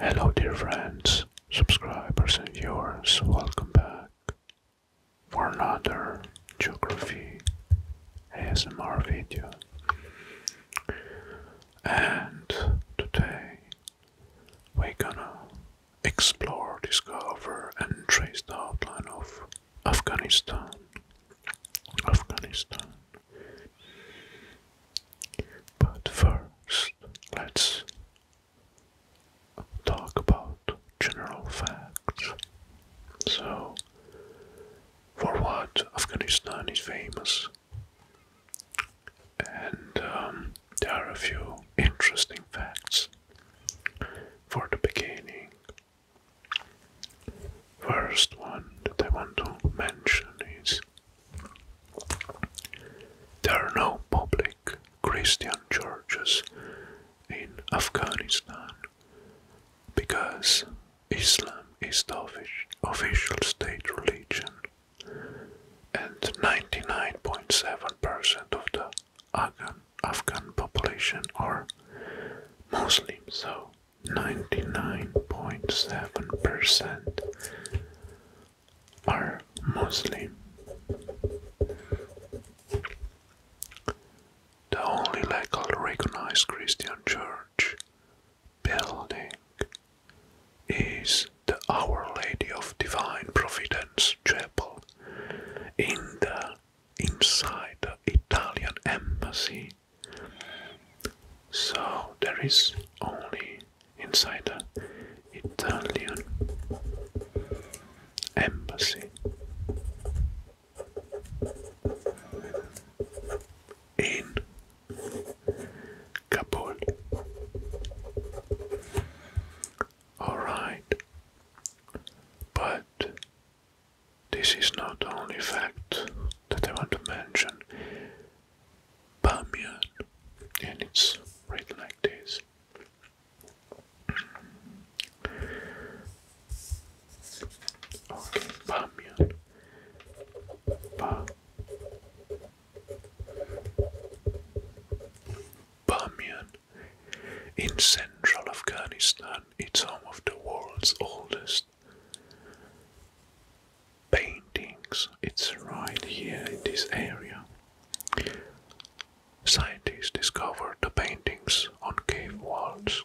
Hello dear friends, subscribers and viewers, welcome back for another geography ASMR video. And today we're gonna explore, discover and trace the outline of Afghanistan. Afghanistan. But first, let's talk about general facts. So, for what Afghanistan is famous, and um, there are a few interesting facts for the beginning. First one that I want to mention is there are no public Christian churches in Afghanistan because Islam is the official state religion and 99.7% of the Afghan, population are Muslims. so 99.7% are Muslim. The only legally recognized Christian church building is the Our Lady of Divine Providence Chapel in the inside the Italian embassy so there is only inside the Italian embassy in Kabul. All right, but this is not the only fact that I want to mention. Bamiyan, and it's right like this. Okay, Bamiyan. Bamiyan. In central Afghanistan, it's home of the world's oldest paintings. It's right here in this area. Scientists discovered the paintings on cave walls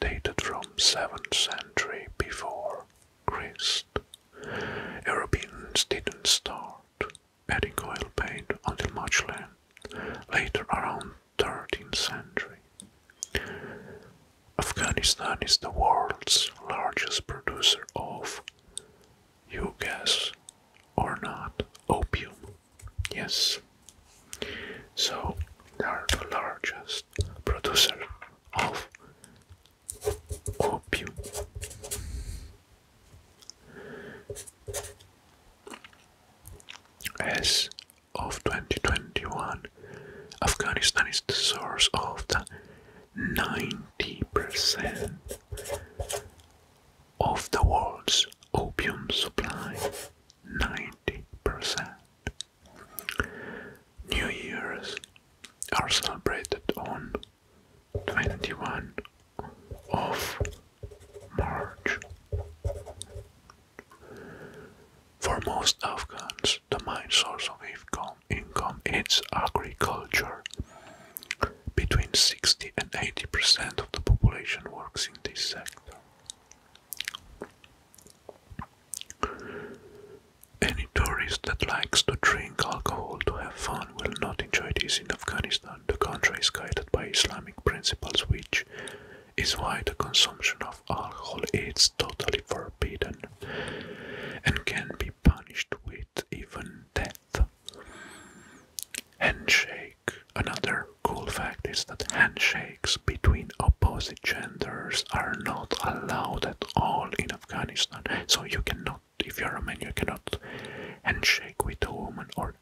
dated from 7th century before Christ. Europeans didn't start adding oil paint until much later, around 13th century. Afghanistan is the world's largest producer of, you guess or not, opium. Yes. So they are the largest producer of opium. As of 2021, Afghanistan is the source of the 90% of the world's opium supply. 90%. New Year's are celebrated on 21 of March. For most Afghans, the main source of income, is agriculture. Between 60 and 80 percent of the population works in this sector. Any tourist that likes to drink alcohol to have fun will not enjoy this in Afghanistan. The country is guided by Islamic principles, which is why the consumption of alcohol is totally forbidden and can be punished with even death. Handshake. Another cool fact is that handshakes between opposite genders are not allowed at all in Afghanistan. So you cannot, if you're a man, you cannot handshake with a woman or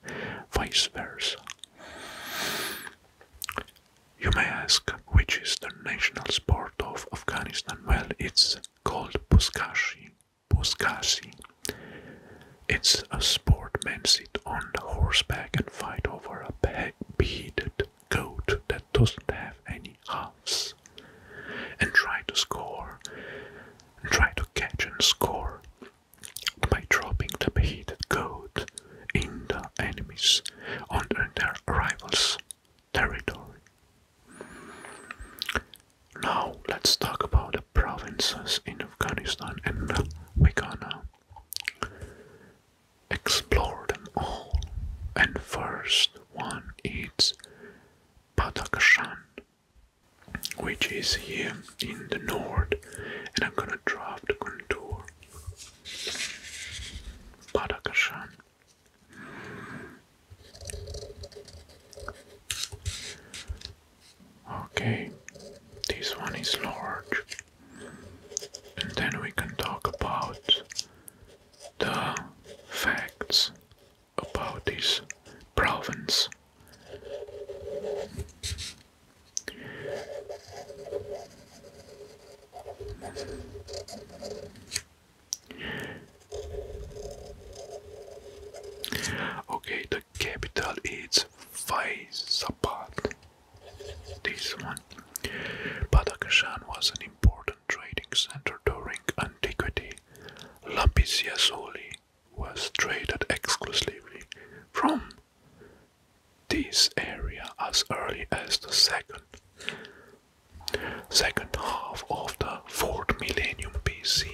vice versa. You may ask, which is the national sport of Afghanistan? Well, it's called Puskashi. Puskasi. It's a sport men sit on horseback and fight over a beheaded goat that doesn't have any halves and try to score and try to catch and score by dropping the beheaded goat in the enemies under their rival's territory. Now let's talk about the provinces in Afghanistan and we're gonna explore them all. And first one is Badakhshan, which is here in the north, and I'm gonna draw the contour Badakashan. Okay, this one is large. And then we can talk about the facts about this province. Okay, the capital is Faizabad. This one. Badakhshan was an important trading center during antiquity. Lapislazuli was traded exclusively from this area as early as the second second half of the fourth millennium BC.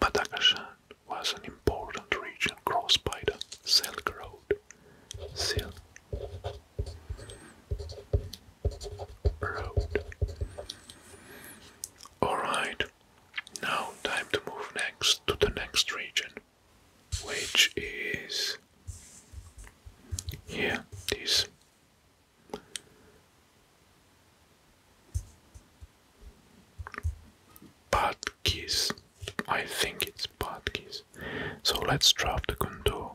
Madagascar was an important region crossed by the Silk Road. Silk Road. Alright, now time to move next to the next region which is yeah this Badkiss. I think it's Badkiss. So let's drop the contour.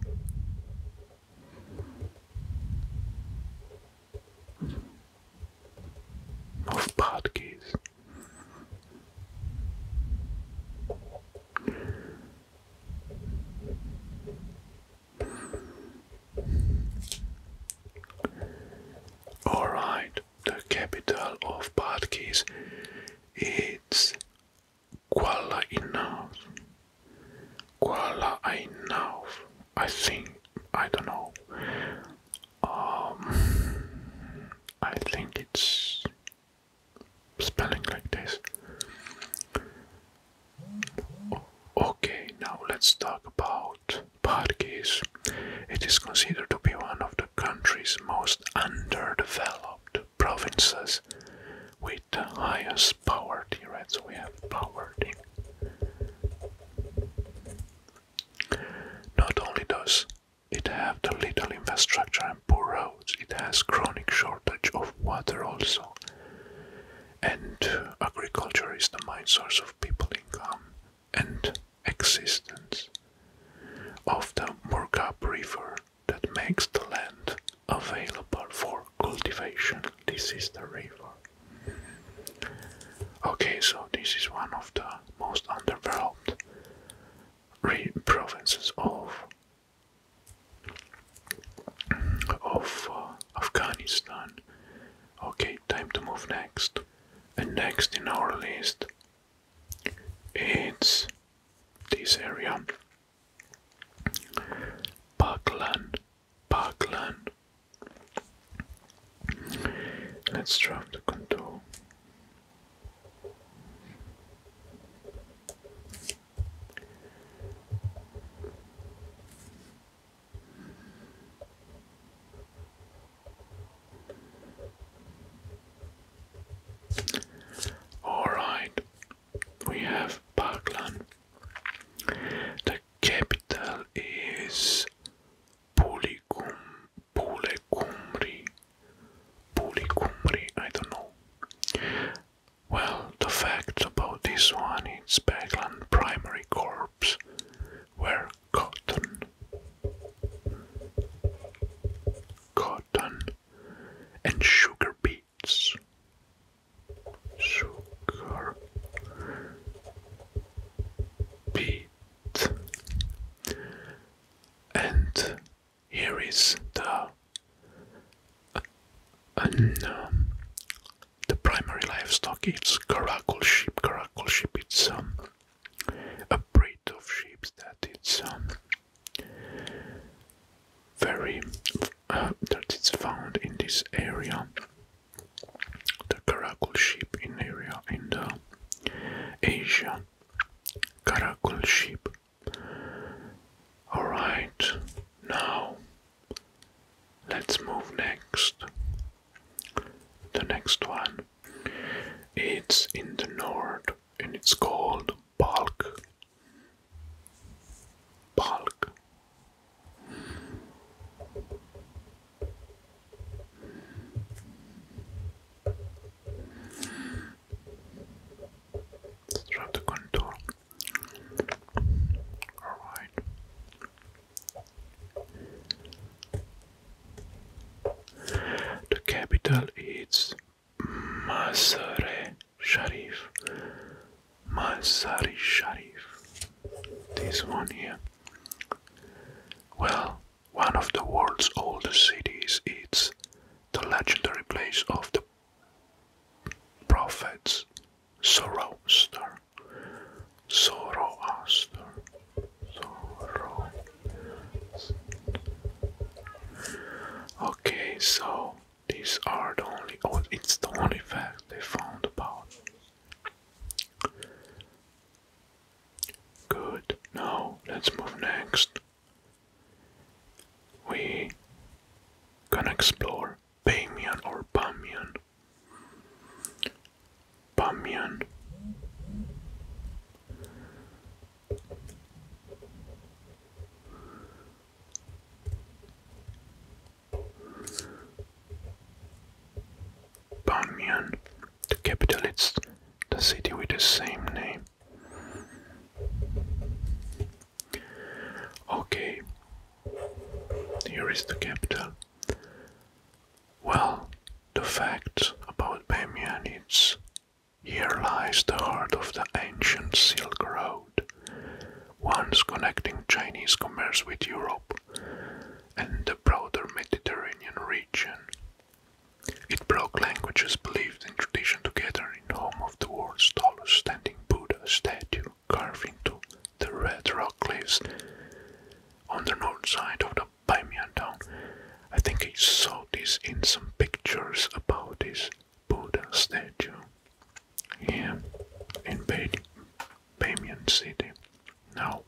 Of keys. All right, the capital of Badghis is Kuala Enough. Kuala Enough, I think. I don't know. Um, I think it's spelling like this. Okay, now let's talk about Pargis. It is considered to be one of the country's most underdeveloped provinces with the highest poverty rate. So we have poverty. Not only does it has little infrastructure and poor roads. It has chronic shortage of water also. And agriculture is the main source of people income and existence of the Murgab River that makes the land available for cultivation. This is the river. Okay, so this is one of the most underdeveloped provinces of of uh, Afghanistan. Okay, time to move next. And next in our list, it's this area, Paklan. Paklan. Let's draft the contour. Alright, we have Parkland. The capital is Polycom Pule Kumri. I don't know. Well, the facts about this one is Bagland Primary Corps were cotton. Cotton and sugar beets. Sugar beet and here is the uh, um, the primary livestock. It's caracal sheep. Caracal sheep. It's um, a breed of sheep that it's um, very uh, that it's found in this area. The caracal sheep in area in the Asia Karakol. sheep. Alright, now let's move next. The next one. It's in the north and it's called Balk. Balk. Let's try to contour. Alright. The capital is Masare Sharif. Masari Sharif. This one here. Well, one of the world's oldest cities, it's the legendary place of the prophets Zoroaster. Zoroaster. Zoro. Okay, so these are the only oh, it's the only fact they found about Good. Now let's move next. We can explore Bamian or Bamian. Bamian. Bamian the capital is the city with the same name. Okay, here is the capital. Well, the facts about Bamiyan It's here lies the heart of the ancient Silk Road, once connecting Chinese commerce with Europe and the broader Mediterranean region. It broke languages believed in tradition together in home of the world's tallest standing Buddha statue carved into the red rock cliffs on the north side of the Baimiyan town. I think I saw this in some pictures about this Buddha statue here in Baimiyan city. Now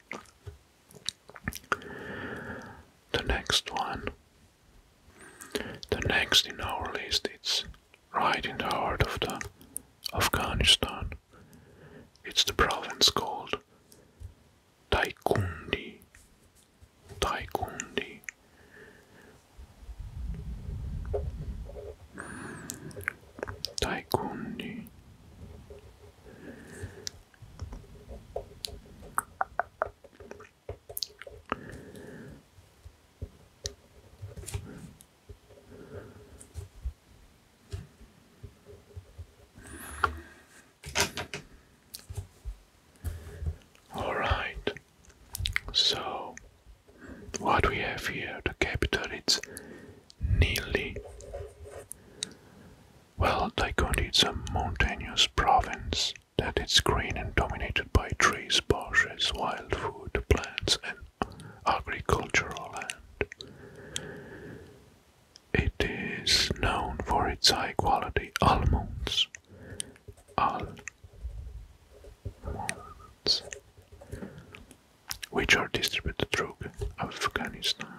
the next one. The next in our list it's right in the heart of the Afghanistan. It's the province called Taikundi. Taikundi. Taikundi. All right. So, what we have here, the capital, it's nearly. Well, Lycondi is a mountainous province that is green and dominated by trees, bushes, wild food, plants, and agricultural land. It is known for its high quality almonds. Which are distributed throughout Afghanistan.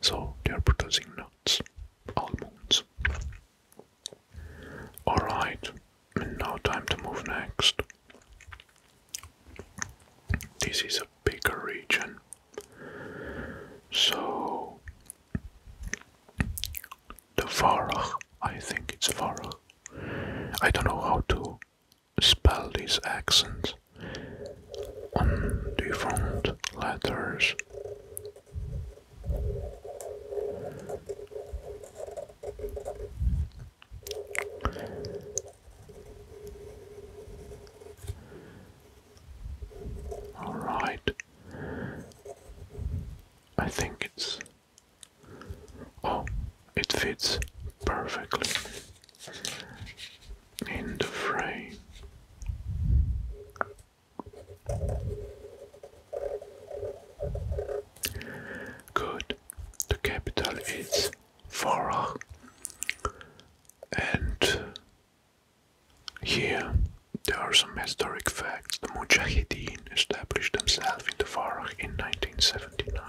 So they are producing now nuts, almonds. Alright, now time to move next. This is a bigger region. So, the Varach, I think it's Varach. I don't know how to spell these accents on different letters. All right. I think it's oh, it fits perfectly in the frame. Good, the capital is Farah, and here there are some historic facts. The Mujahideen established themselves in the Farah in 1979.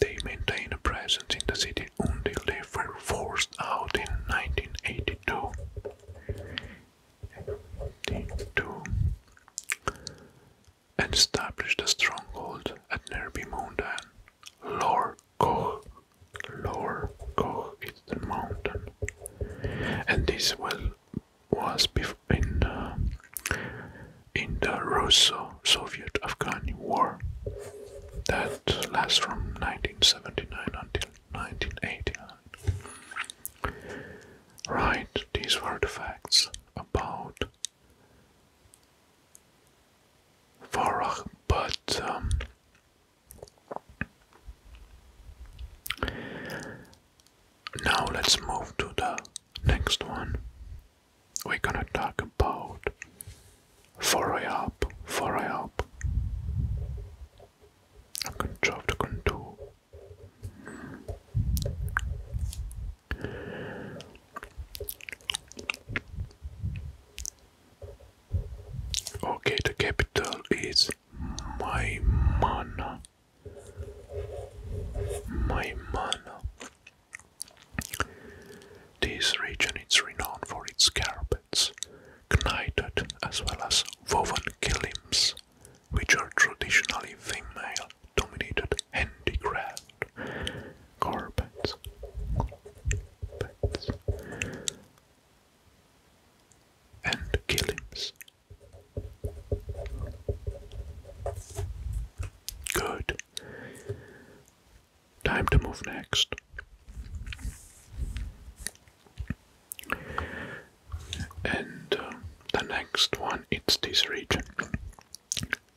They maintained a presence in the city until they were forced out in 1982. 82, and established a stronghold at Nerbi Mountain. Lor Koch. Lor Koch is the mountain. And this well was in, uh, in the Russo Soviet afghan War that lasts from 1979 until 1989. Right, these were the facts about Farah, but um, now let's move to the next one we're gonna talk about foray up, foray up. I'm gonna drop the contour. Okay, the capital is Maimana. Maimana. This region is renowned for its carpets, knitted as well as woven kilims, which are traditionally female-dominated handicraft carpets. And kilims. Good. Time to move next. And uh, the next one, it's this region,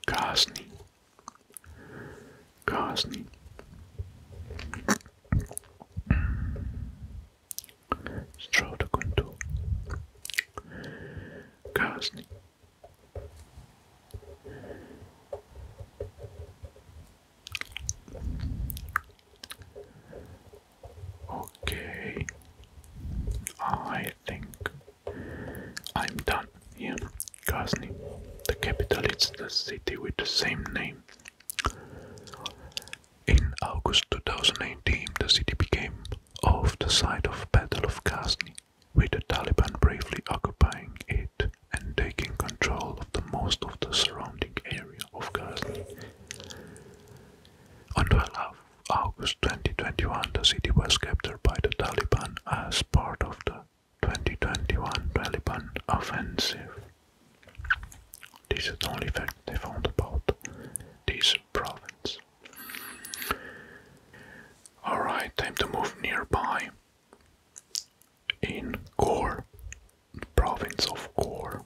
Ghazni. Ghazni. Strode Ghazni. Okay, I think I'm done here. Ghazni, the capital is the city with the same name. In August 2018, the city became off the site of Battle of Ghazni with the Taliban briefly occupying it and taking control of most of the surrounding area of Ghazni. On 12 August 2021, the city was captured by the Taliban as part of the 2021 Taliban offensive. This is the only fact they found about this province. Alright, time to move nearby in Ghor, province of Ghor.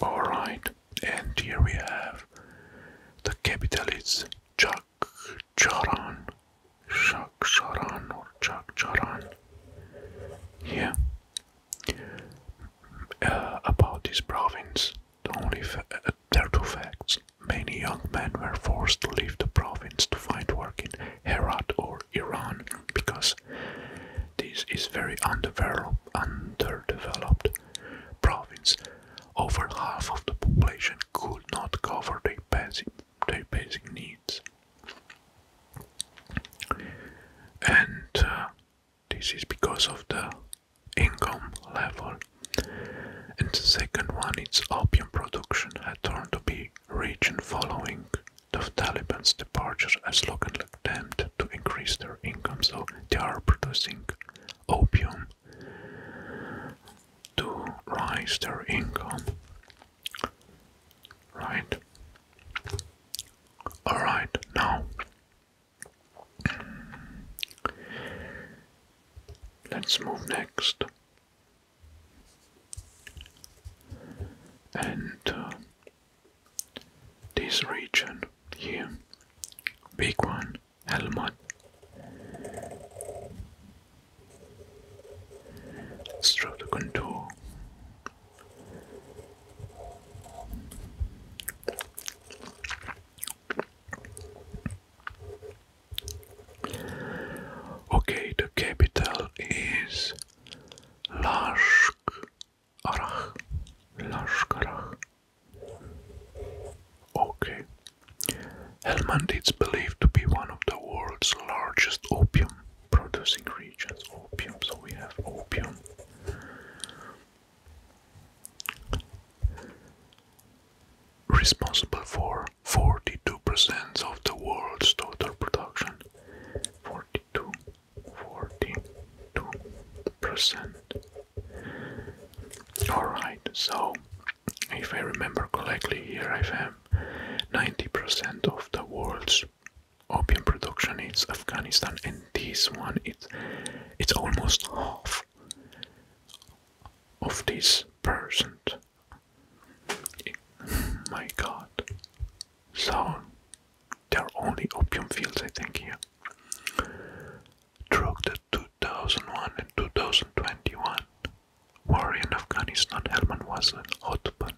All right, and here we have the capital is Chak Chak Charan. Chak or Chak Charan. Yeah. Uh, about this province, only uh, there are two facts. Many young men were forced to leave the province to find work in Herat or Iran because this is very underdeveloped province over half of the population could not cover their basic, needs. And uh, this is because of the income level. And the second one, its opium production had turned to be rich. region following the Taliban's departure as local attempt to increase their income, so they are producing opium to raise their income. Right? Alright, now let's move next. And uh, this region here, big one, Helmut. Stratocontour. Okay, the capital is Lashkarach. Lashkarach. Okay. Helmand is believed to be one of the world's largest opium producing regions. Opium, so we have opium. Responsible for 42% of the world's total production. 42, percent Alright, so if I remember correctly, here I am. 90% of the world's opium production is Afghanistan, and this one it it's almost half of this percent. My God! So there are only opium fields, I think here. Drug 2001 and 2021 war in Afghanistan, Helmand was an hotbed,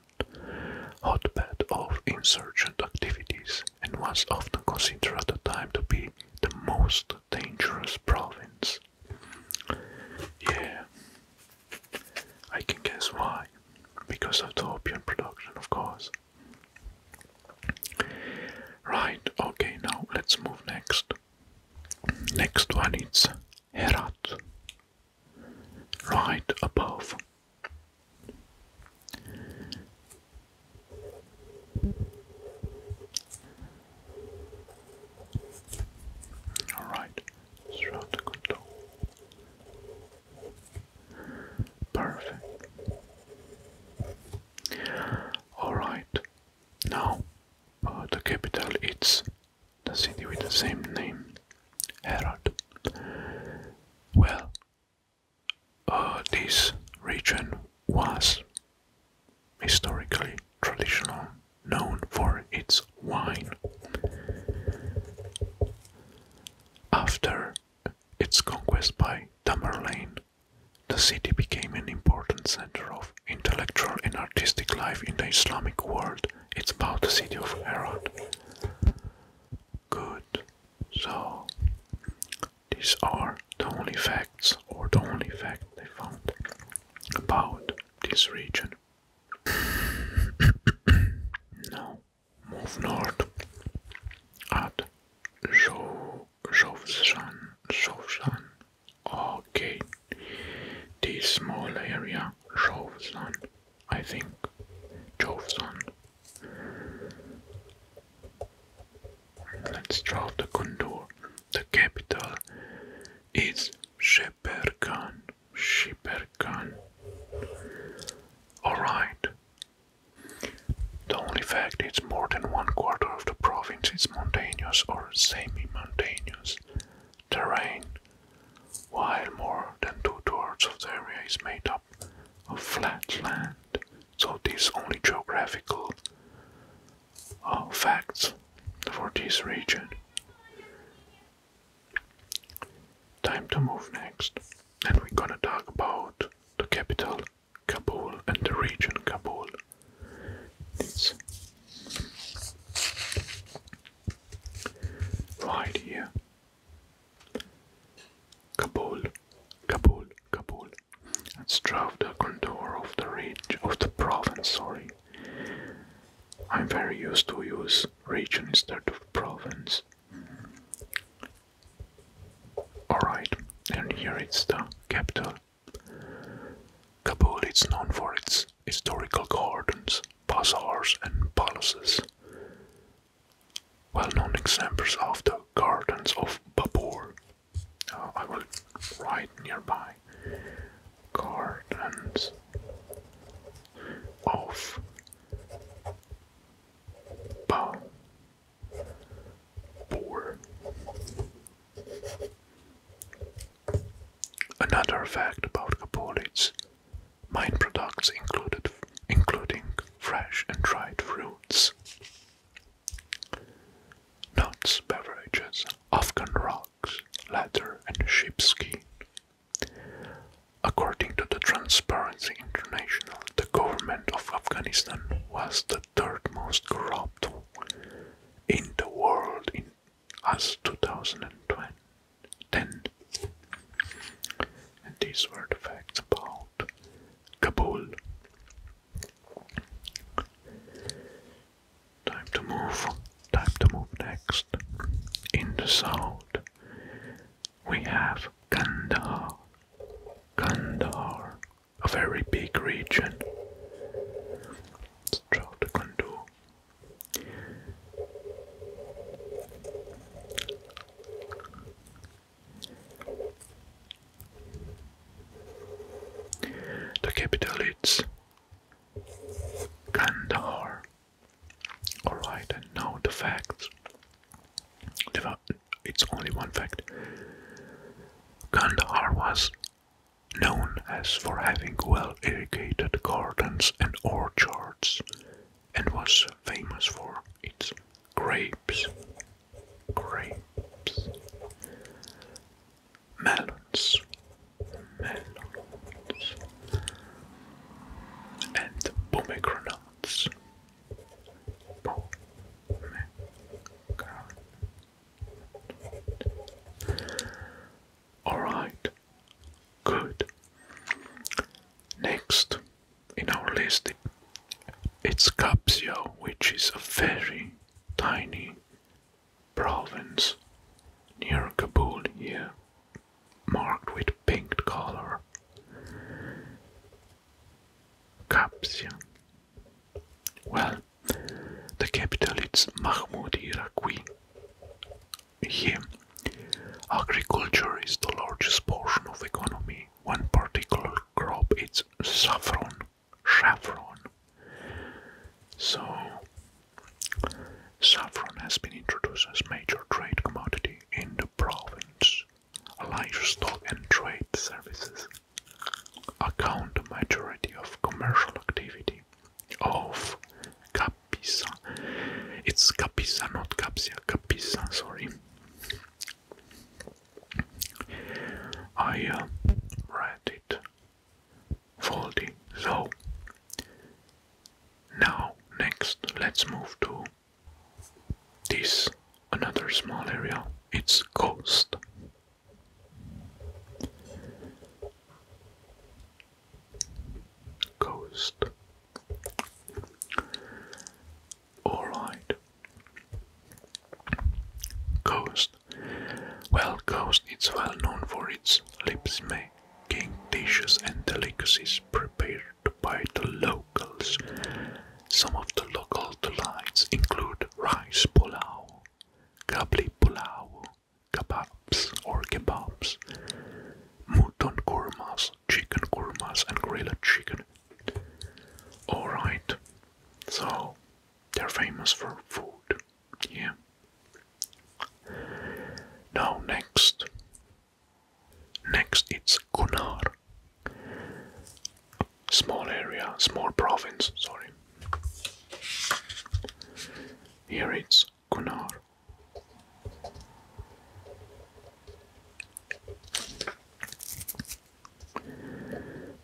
hotbed of insurgent activities and was often considered at the time to be the most dangerous province. Yeah, I can guess why. Because of the opium production, of course. Right, okay, now let's move next Next one is Herat, right above. All right, throughout control. Perfect. All right, now uh, the capital is the city with the same name, Herod. Well, uh, this region was historically traditional, known for its wine. After its conquest by Tamerlane, the city became an important center of intellectual and artistic life in the Islamic world. It's about the city of Herod. Good. So, these are the only facts or the only fact they found about this region. now, move north at Zhoushan. Zhoushan Okay, this small area Jovesan, I think. Jovesan. Let's draw the contour. The capital is Sheperkan. Sheperkan. Alright. The only fact is more than one quarter of the province is mountainous or semi-mountainous terrain, while more than two thirds of the area is made up of flat land. So these only geographical uh, facts for this region. Time to move next, and we're gonna talk about the capital Kabul and the region Kabul. It's right here. Kabul, Kabul, Kabul, Let's strove the contour of the ridge of the province. Sorry, I'm very used to use region instead of province. Alright, and here it's the capital Kabul is known for its historical gardens, bazaars, and palaces. Well-known examples of the gardens of Babur. Uh, I will write nearby. Gardens of Babur. Another fact about Kapolits mine products included including fresh and dried fruits. Nuts, beverages, Afghan rocks, leather and sheepskin. According to the Transparency International, the government of Afghanistan was the third most corrupt in the world in as 2010. And these were the facts about Kabul. Time to move, time to move next. In the south, we have Kandahar. Kandahar a very big region. Trout Condor. The capital is Kandahar. Alright, and now the facts. It's only one fact. Kandahar was known as for having well-irrigated gardens and orchards, and was famous for its grapes, grapes, melons, melons, and pomegranates. Pomegranates. Alright, good. Next in our list, it's Capsio, which is a very tiny province near Kabul here, marked with pink color. Capsio. Well, the capital is Mahmoudi Raqi. agriculture is the largest portion of economy. One particular crop is saffron. Saffron. So, saffron has been introduced as major trade commodity in the province. Livestock and trade services account majority of commercial activity of Capisa. It's Capisa, not Capsia, Capisa, sorry. I uh, read it faulty, so now next let's move to this another small area. It's coast. Coast. All right. Coast. Well, Coast is well known for its lips making dishes and delicacies prepared by the locals. Some of the local delights include rice pulao, Kabli pulao, kebabs or kebabs, mutton kurmas, chicken kurmas, and grilled chicken. Alright, so they're famous for food. Yeah. Now, next. Next, it's Kunar. Small area, small province, sorry. Here it's Kunar.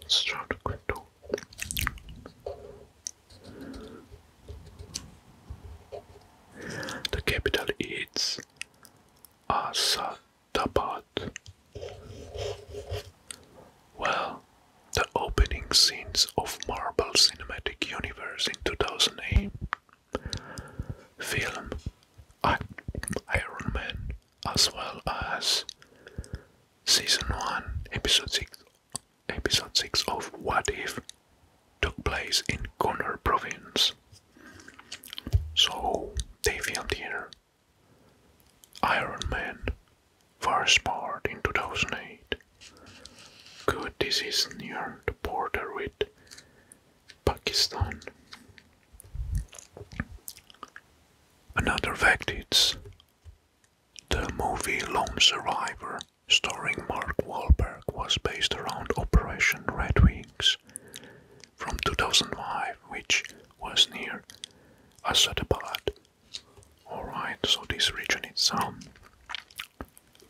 Start The capital is Asadabad. Well, the opening scenes of Marvel Cinematic Universe in 2008 film Iron Man, as well as season 1, episode 6, episode 6 of What If took place in Gunnar province. So they filmed here Iron Man, first part in 2008. Good, this is near the border with Pakistan. Another fact It's the movie Lone Survivor starring Mark Wahlberg was based around Operation Red Wings from 2005, which was near Asadabad. Alright, so this region is um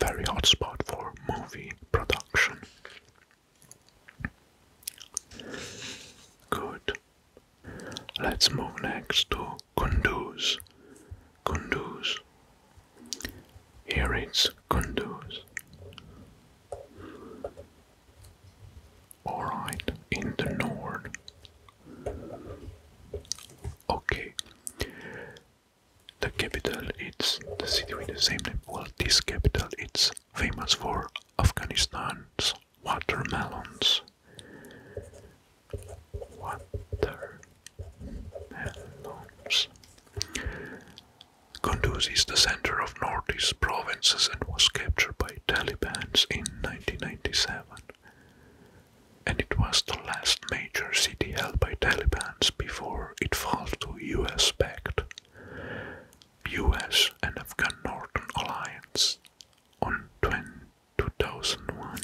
very hot spot for movie production. Good. Let's move next to Kunduz. Kunduz. Here it's Kunduz. Alright, in the north. Okay. The capital is the city with the same name. Well this capital is famous for Afghanistan's watermelons. Watermelons. Kunduz is the center of northeast provinces and was captured by Taliban in 1997 and it was the last major city held by Taliban before it fell to US backed US and Afghan Northern Alliance on 2001.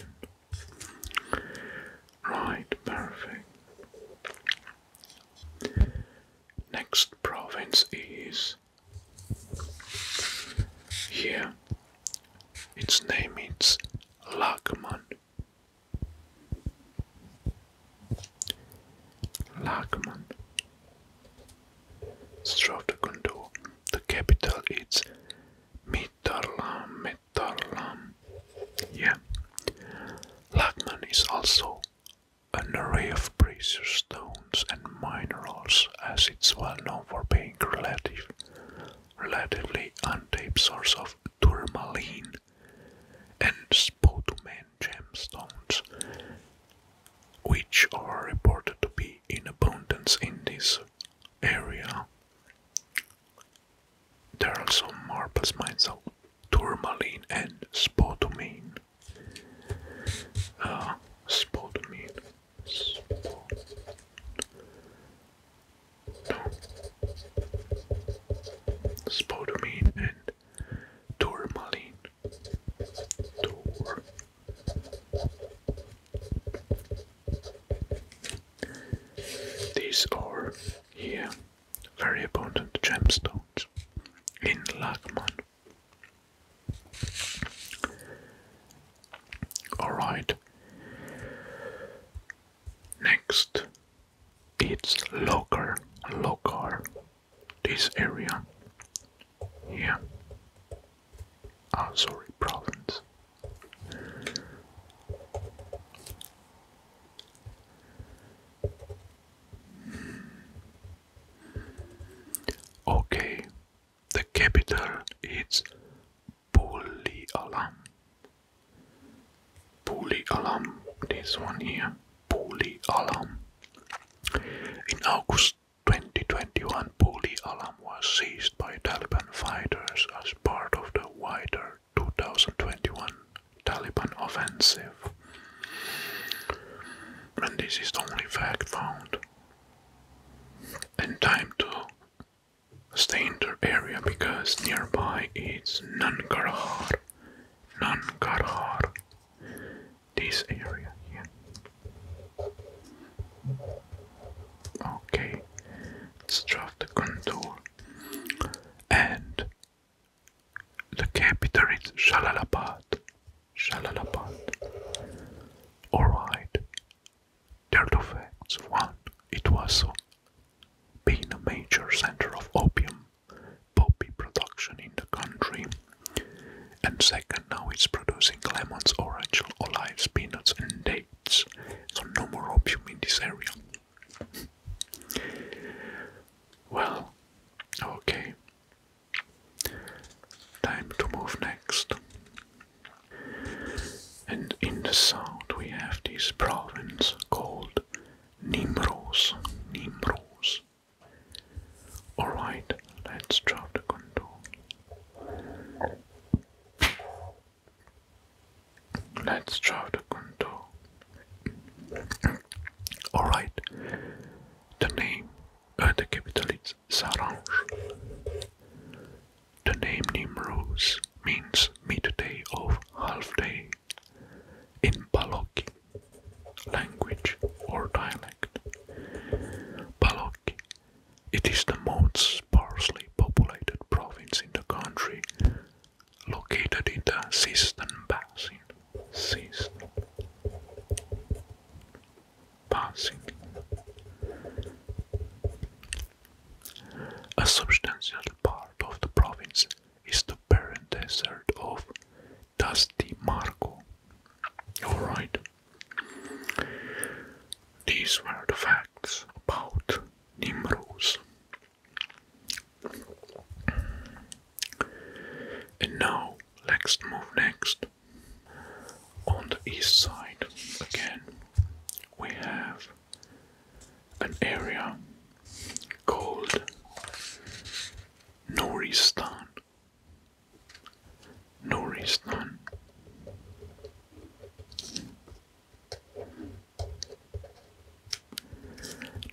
Right, perfect. Next province is here, its name means Lagman. Lagman. Throughout the capital is Mittarlam, Mittarlam. Yeah. Lagman is also an array of precious stones and minerals, as it's well known for being relatively relatively untapped source of tourmaline and spodumene gemstones, which are reported to be in abundance in this area. There are also marbles mines of tourmaline and spodumene. Uh, spodumene. Spodumene and tourmaline. These are here very abundant gemstones in Lagman. All right. Next, it's local. Local. This area. Yeah. Oh, sorry, province. Okay, the capital is Puli Alam. Puli Alam, this one here, Puli Alam. In August 2021, Puli Alam was seized by Taliban fighters as part of the wider 2021 Taliban offensive. And this is the only fact found and time to stay in the area because nearby is Nangarhar. Nangarhar. This area here. Okay, let's draw the contour. And the capital is Shalalabad. Shalalabad. Alright, there are One, it was being a major center of opium poppy production in the country. And second, now it's producing lemons, orange, olives, peanuts, and dates. So no more opium in this area. Well, okay. Time to move next and in the south we have this province called Nimros. Nimros. Alright, let's drop the contour. Let's draw the contour. Alright, the name, uh, the capital is s'arrange. The name Nimruz means midday or half day in Balochi language or dialect. Balochi, it is the most sparsely populated province in the country, located in the Sistan Basin. Sistan passing. A substantial part of the province is the barren desert of Tastimarco. Alright. These were the facts about Nimrose. And now let's move next on the east side, again, we have an area called Noristan. Noristan.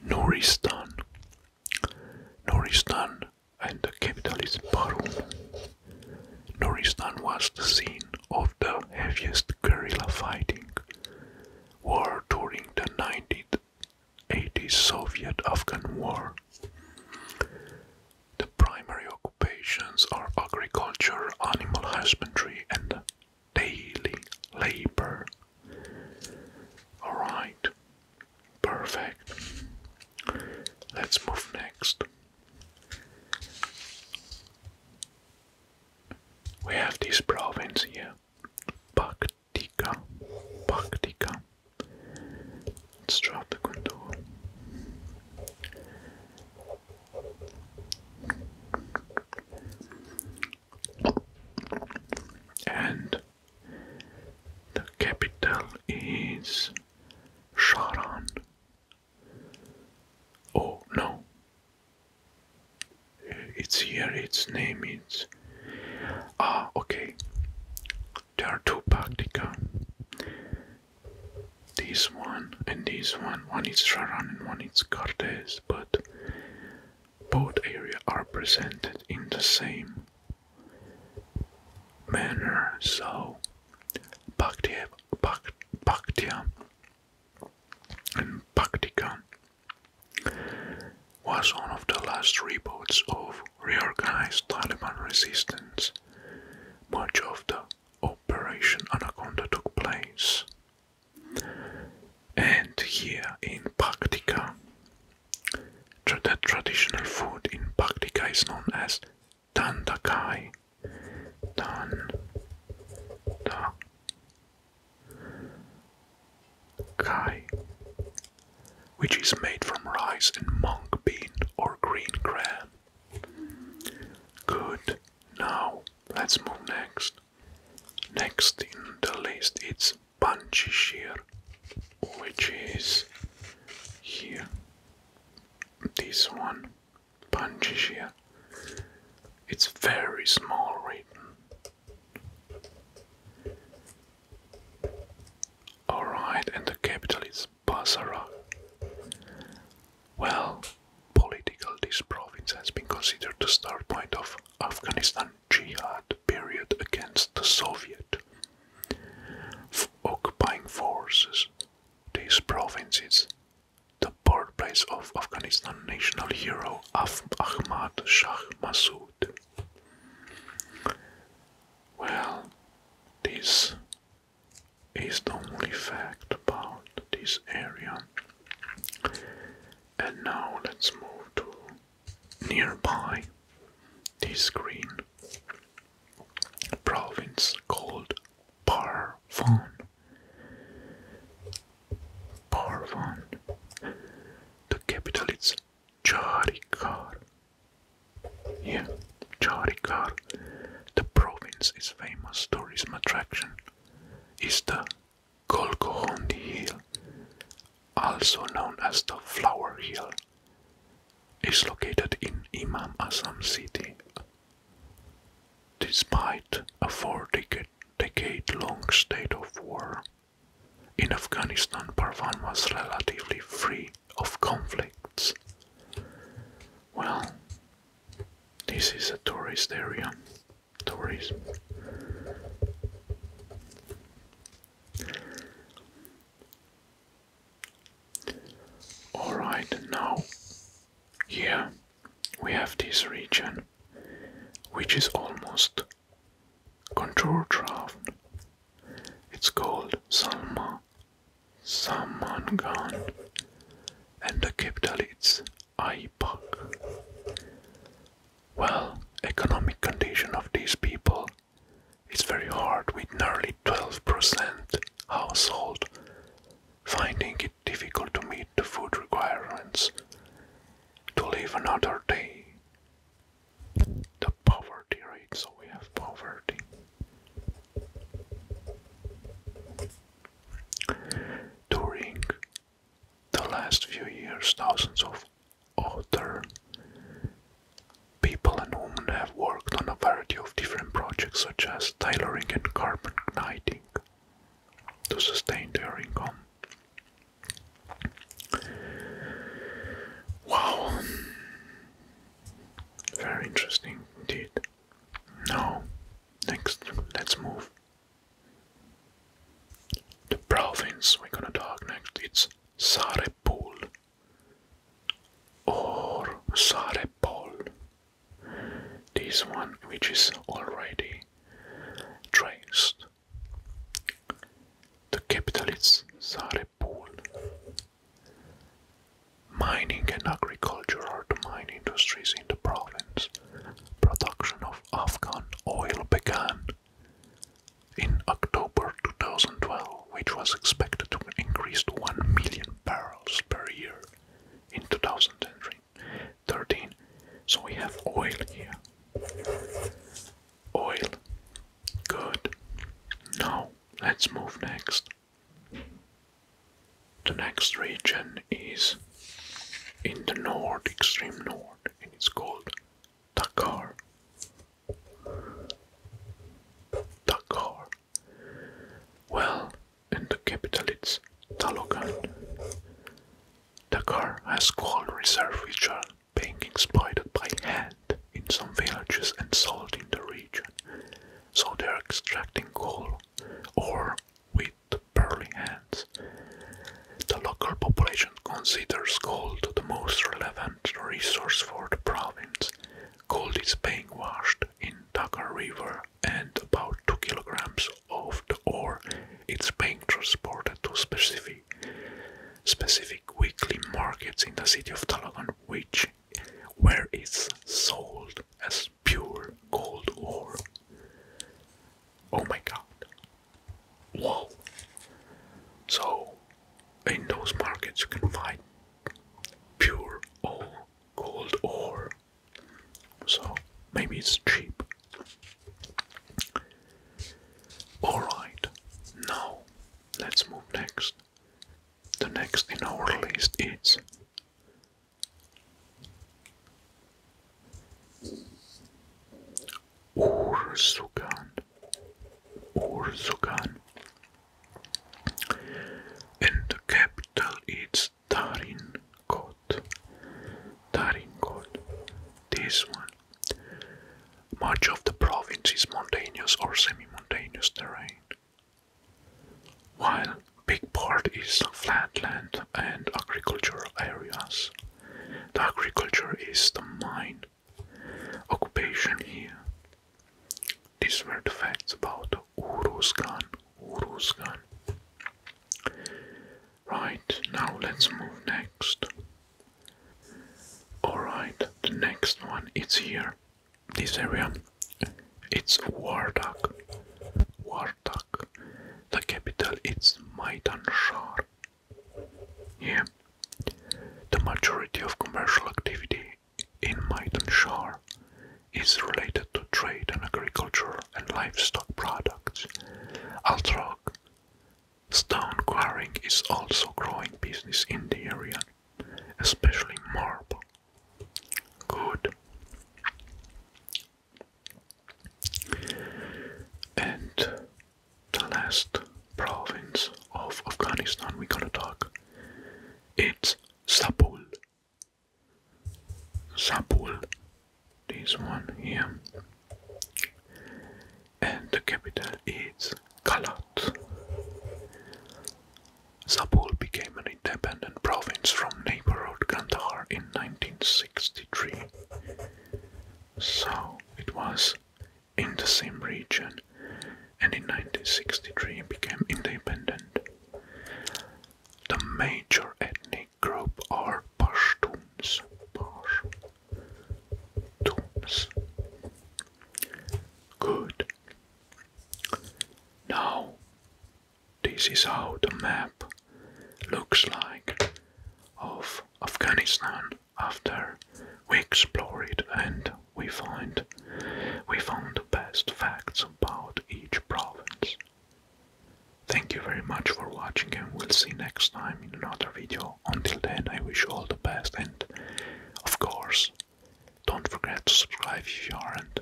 Noristan. Noristan and the capital is Barum. Nuristan was the scene of the heaviest guerrilla fighting war during the 1980s Soviet-Afghan War. The primary occupations are agriculture, animal husbandry and daily labor. Alright, perfect. Let's move next. We have this province here, Paktika. Paktika. Let's drop the contour. And the capital is Sharan. Oh no. It's here, its name is. Ah, okay. There are two Pactica. This one and this one. One is Sharan and one is Cortez, but both areas are presented in the same manner, so Bhakti, Bhak, Bhaktya and Bhaktika was one of the last reports of reorganized Taliban resistance. Much of the Operation Anaconda took place. And here in Pakhtika, the traditional food in Pakhtika is known as Dandakai. Dan. Da. Which is made from rice and monk bean or green gram. Good. Now let's move next. Next in the list it's Banchishir, which is here. This one, Pangaea, it's very small right? Alright, and the capital is Basara. Well, political this province has been considered the start point of Afghanistan jihad period against the Soviet occupying forces these provinces, the birthplace of Afghanistan national hero Ahmad Shah Massoud. Well, this is the only fact about this area. And now let's move to nearby this green province called Parvon. Parvon. The capital is Charikar. Yeah, Charikar. The province is famous tourism attraction. Is the Golgohondi Hill, also known as the Flower Hill is located in Imam Azam city. Despite a four-decade-long state of war, in Afghanistan Parvan was relatively free of conflicts. Well, this is a tourist area. Tourism. Alright, now here we have this region which is almost controlled. draft. It's called Salma Samangan and the capital is Aipak. Well, economic condition of these people it's very hard with nearly 12% household finding it difficult to meet the food requirements to live another day. The poverty rate, so we have poverty. During the last few years, thousands of other People and women have worked on a variety of different projects such as tailoring and carbon knitting, to sustain their income. Wow, very interesting indeed. Now, next, let's move. The province we're gonna talk next. It's Sarepul or Sare This one which is already traced. The capital is Sarepul. Mining and agriculture are the main industries in the province. Production of Afghan oil began in October 2012 which was expected to increase to 1 million barrels per year in 2013. So we have oil here. Oil. Good. Now let's move next. The next region is in the north, extreme north, and it's called Dakar. Dakar. Well, in the capital it's Talogan. car has coal reserves which are being exploited by hand in some villages and sold in the region. So they are extracting coal or with pearly hands. The local population considers coal the most relevant resource for the province, Gold is being washed in Dakar River and about 2 kilograms of the ore is being transported to specific specific weekly markets in the city of Talagan which where it's sold as pure gold ore. Oh my god. Wow. So in those markets you can find pure ore, gold ore. So maybe it's cheap. Alright, now let's move next. The next in our list is Ursukan. Ursukan and the capital is Tarinkot. Tarinkot, this one. Much of the province is mountainous or semi-mountainous terrain, while big part is flat land and agricultural areas. The agriculture is the main occupation here. These were the facts about Uruzgan. Uruzgan. Right, now let's move next. Alright, the next one is here. This area. It's Wardak. Wardak. The capital is Maidan Shar. Yeah. The majority of commercial activity in Maidanshar is related to trade and agriculture and livestock products. Altrog stone quarrying is also growing business in the area, especially marble. Good. And the last province of Afghanistan we're gonna talk it's Sapul. Sapul. This one here. And the capital is Kalat. Sapul became an independent province from neighboring Kandahar in 1963. So it was in the same region and in 1963 became independent. The major ethnic group are Pashtuns. Pashtuns. Good. Now, this is how the map looks like of Afghanistan after we explore it and we find we found the best facts about each province. Thank you very much for watching and we'll see next time in another video. Until then I wish all the best and of course don't forget to subscribe if you aren't.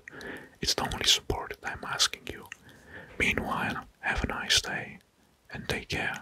It's the only support that I'm asking you. Meanwhile, have a nice day and take care.